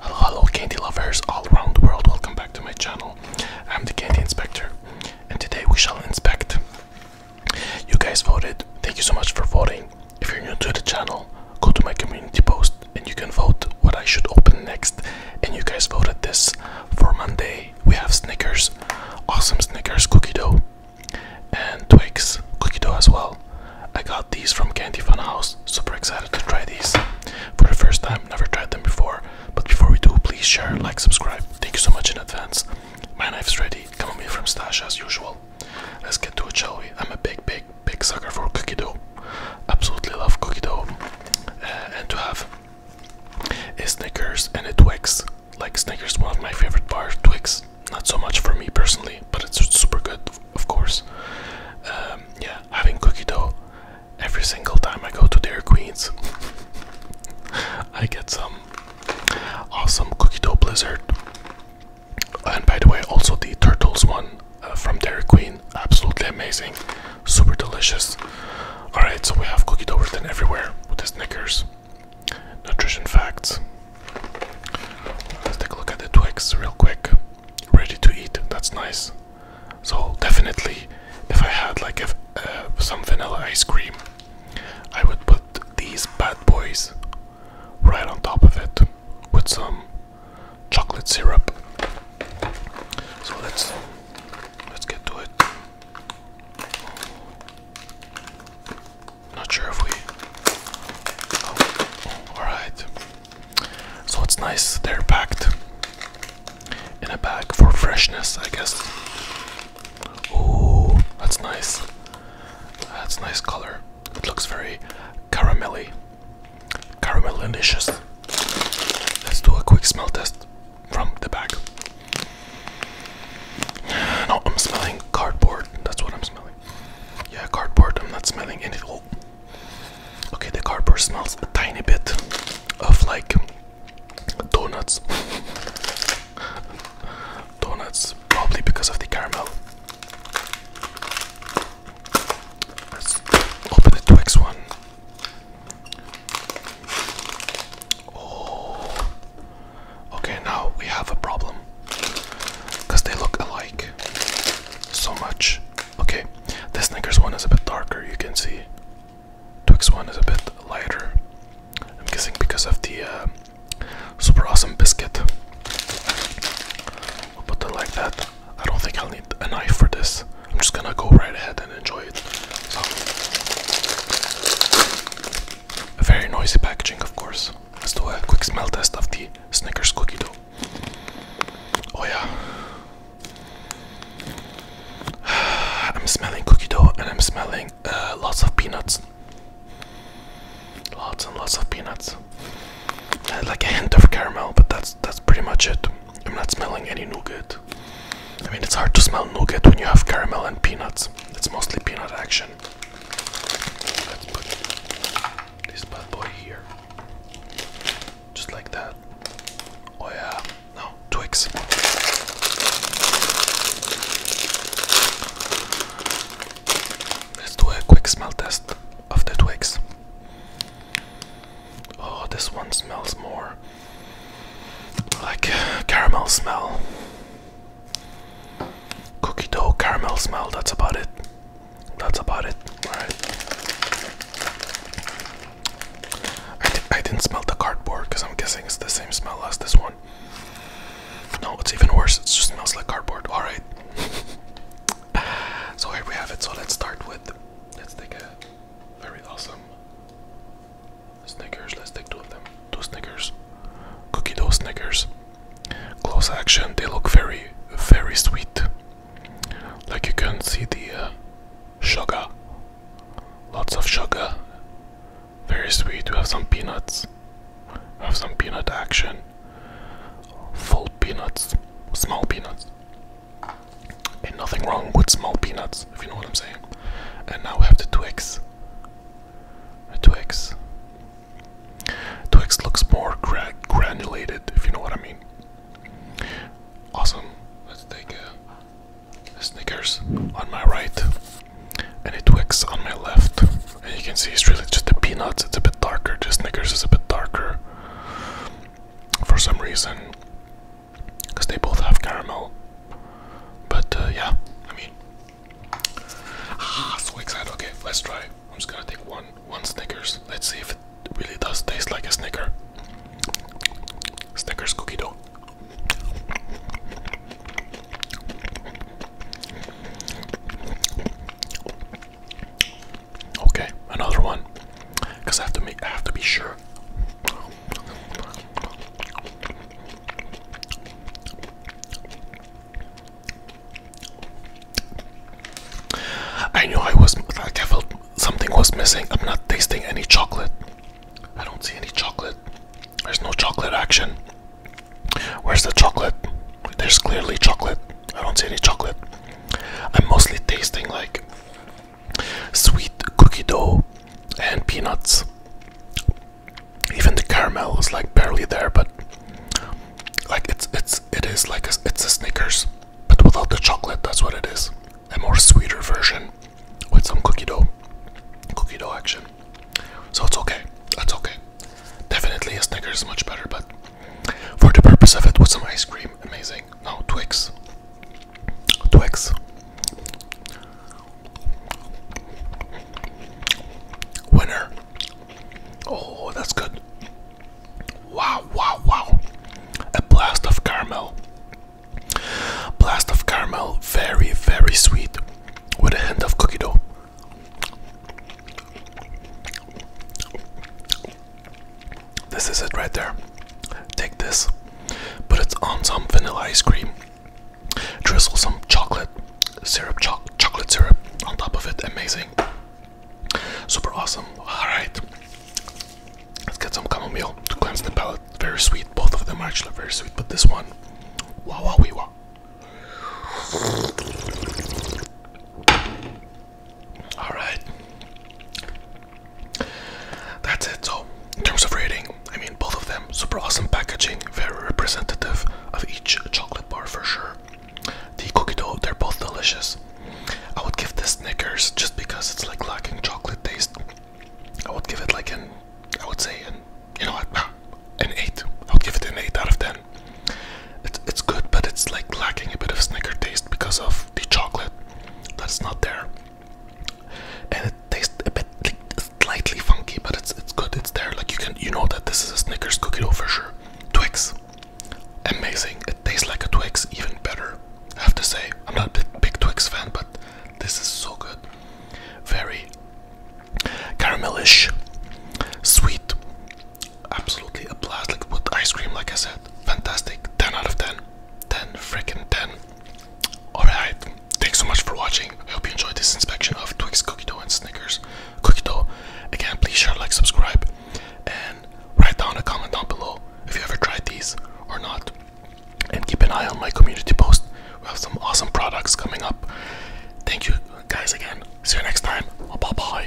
Hello, hello candy lovers all around the world, welcome back to my channel. I'm the Candy Inspector and today we shall inspect. You guys voted, thank you so much for voting. If you're new to the channel, go to my community post and you can vote what I should open next. And you guys voted this for Monday. We have Snickers, awesome Snickers cookie dough, and Twix cookie dough as well. I got these from Candy Fun House. Super excited to try these for the first time. Never tried them before. But before we do, please share, like, subscribe. Thank you so much in advance. My knife's ready. Chamomile from Stash as usual. Let's get to it, shall we? I'm a big, big, big sucker for cookie dough. Absolutely love cookie dough. Uh, and to have a Snickers and Twix. Like Snickers, one of my favorite bars, Twix not so much for me personally, but it's super good, of course. Um, yeah, having cookie dough every single time I go to Dairy Queens, I get some awesome cookie dough blizzard. And by the way, also the turtles one uh, from Dairy Queen, absolutely amazing, super delicious. All right, so we have cookie dough written everywhere with the Snickers. Nutrition facts. Let's take a look at the twigs real quick. Ready to eat, that's nice. So, definitely, if I had like uh, some vanilla ice cream, I would put these bad boys right on top of it with some chocolate syrup. So, let's let's get to it. Not sure if we. Oh, Alright. So it's nice they're packed in a bag for freshness, I guess. Oh, that's nice. That's nice color. It looks very caramelly. Caramel delicious. Let's do a quick smell test from the bag. No, I'm smelling cardboard. That's what I'm smelling. Yeah, cardboard. I'm not smelling anything. Okay, the cardboard smells a tiny bit of like donuts. donuts, probably because of the caramel. Let's open the Twix one. Oh, Okay, now we have a problem. Because they look alike so much. Okay, this Snickers one is a bit darker, you can see. Twix one is a bit lighter. I'm guessing because of the uh, super awesome biscuit. We'll put it like that. I don't think I'll need a knife for this. I'm just gonna go right ahead and enjoy it very noisy packaging, of course. Let's do a quick smell test of the Snickers cookie dough. Oh, yeah. I'm smelling cookie dough and I'm smelling uh, lots of peanuts. Lots and lots of peanuts. like a hint of caramel, but that's that's pretty much it. I'm not smelling any nougat. I mean, it's hard to smell nougat when you have caramel and peanuts. It's mostly peanut action. Let's put this bad boy here. Just like that. Oh yeah. No, Twix. Let's do a quick smell test of the Twix. Oh, this one smells more like caramel smell. Cookie dough, caramel smell, that's about it. That's about it. Alright. I, didn't smell the cardboard because I'm guessing it's the same smell as this one. No, it's even worse. It just smells like cardboard. Alright. so here we have it. So let's start with. Let's take a very awesome Snickers, let's take two of them. Two Snickers. Cookie dough Snickers. Close action, they look very, very sweet. Like you can see the uh, sugar. Lots of sugar. Very sweet. We have some peanuts. have some peanut action. Full peanuts. Small peanuts. And nothing wrong with small peanuts if you know what I'm saying. And now we have the Twix, Twix, Twix looks more granulated, if you know what I mean. Awesome. Let's take a, a Snickers on my right and a 2 on my left. And you can see it's really just the peanuts, it's a bit darker. The Snickers is a bit darker for some reason because they both have caramel. But uh, yeah, I mean, ah, so excited. Okay, let's try. I'm just gonna take one, one Snickers. Let's see if it really does taste like a Snicker. Snickers cookie dough. Okay, another one. Cause I have to make, I have to be sure. I knew I was like I felt something was missing. I'm not tasting any chocolate. I don't see any chocolate. There's no chocolate action. Where's the chocolate? There's clearly chocolate. I don't see any chocolate. I'm mostly tasting like sweet cookie dough and peanuts. Even the caramel is like barely there, but like it's it's it is like a, it's a Snickers, but without the chocolate. That's what it is. A more sweeter version with some cookie dough, cookie dough action. So it's okay. That's okay. Definitely a Snickers is much better, but for the purpose of it, with some ice cream, amazing. No, Twix. Twix. Winner. Oh, that's good. Wow, wow, wow. A blast of caramel. Blast of caramel, very, very sweet, with a hint of cookie dough. This is it right there. Take this, put it on some vanilla ice cream, drizzle some chocolate syrup, cho chocolate syrup on top of it. Amazing, super awesome. All right, let's get some chamomile to cleanse the palate. Very sweet. Both of them are actually very sweet, but this one, wow, wow, wee, wow. All right. That's it. So, in terms of rating, I mean, both of them super awesome packaging, very representative of each chocolate bar for sure. The cookie dough, they're both delicious. I would give this Snickers just because it's like lacking chocolate taste. I would give it like an, I would say an, you know what, an eight. I I'll give it an eight out of ten. It's it's good, but it's like lacking a bit of Snicker taste because of the chocolate that's not there. And it tastes a bit slightly funky, but it's it's good. It's there. Like you can you know that this is a Snickers cookie dough for sure. Twix, amazing. It tastes like a Twix, even better. I have to say, I'm not a big Twix fan, but this is so good. Very caramelish, sweet, absolutely a blast like with ice cream like i said fantastic 10 out of 10 10 freaking 10 all right thanks so much for watching i hope you enjoyed this inspection of twix cookie dough and snickers cookie dough again please share like subscribe and write down a comment down below if you ever tried these or not and keep an eye on my community post we have some awesome products coming up thank you guys again see you next time bye bye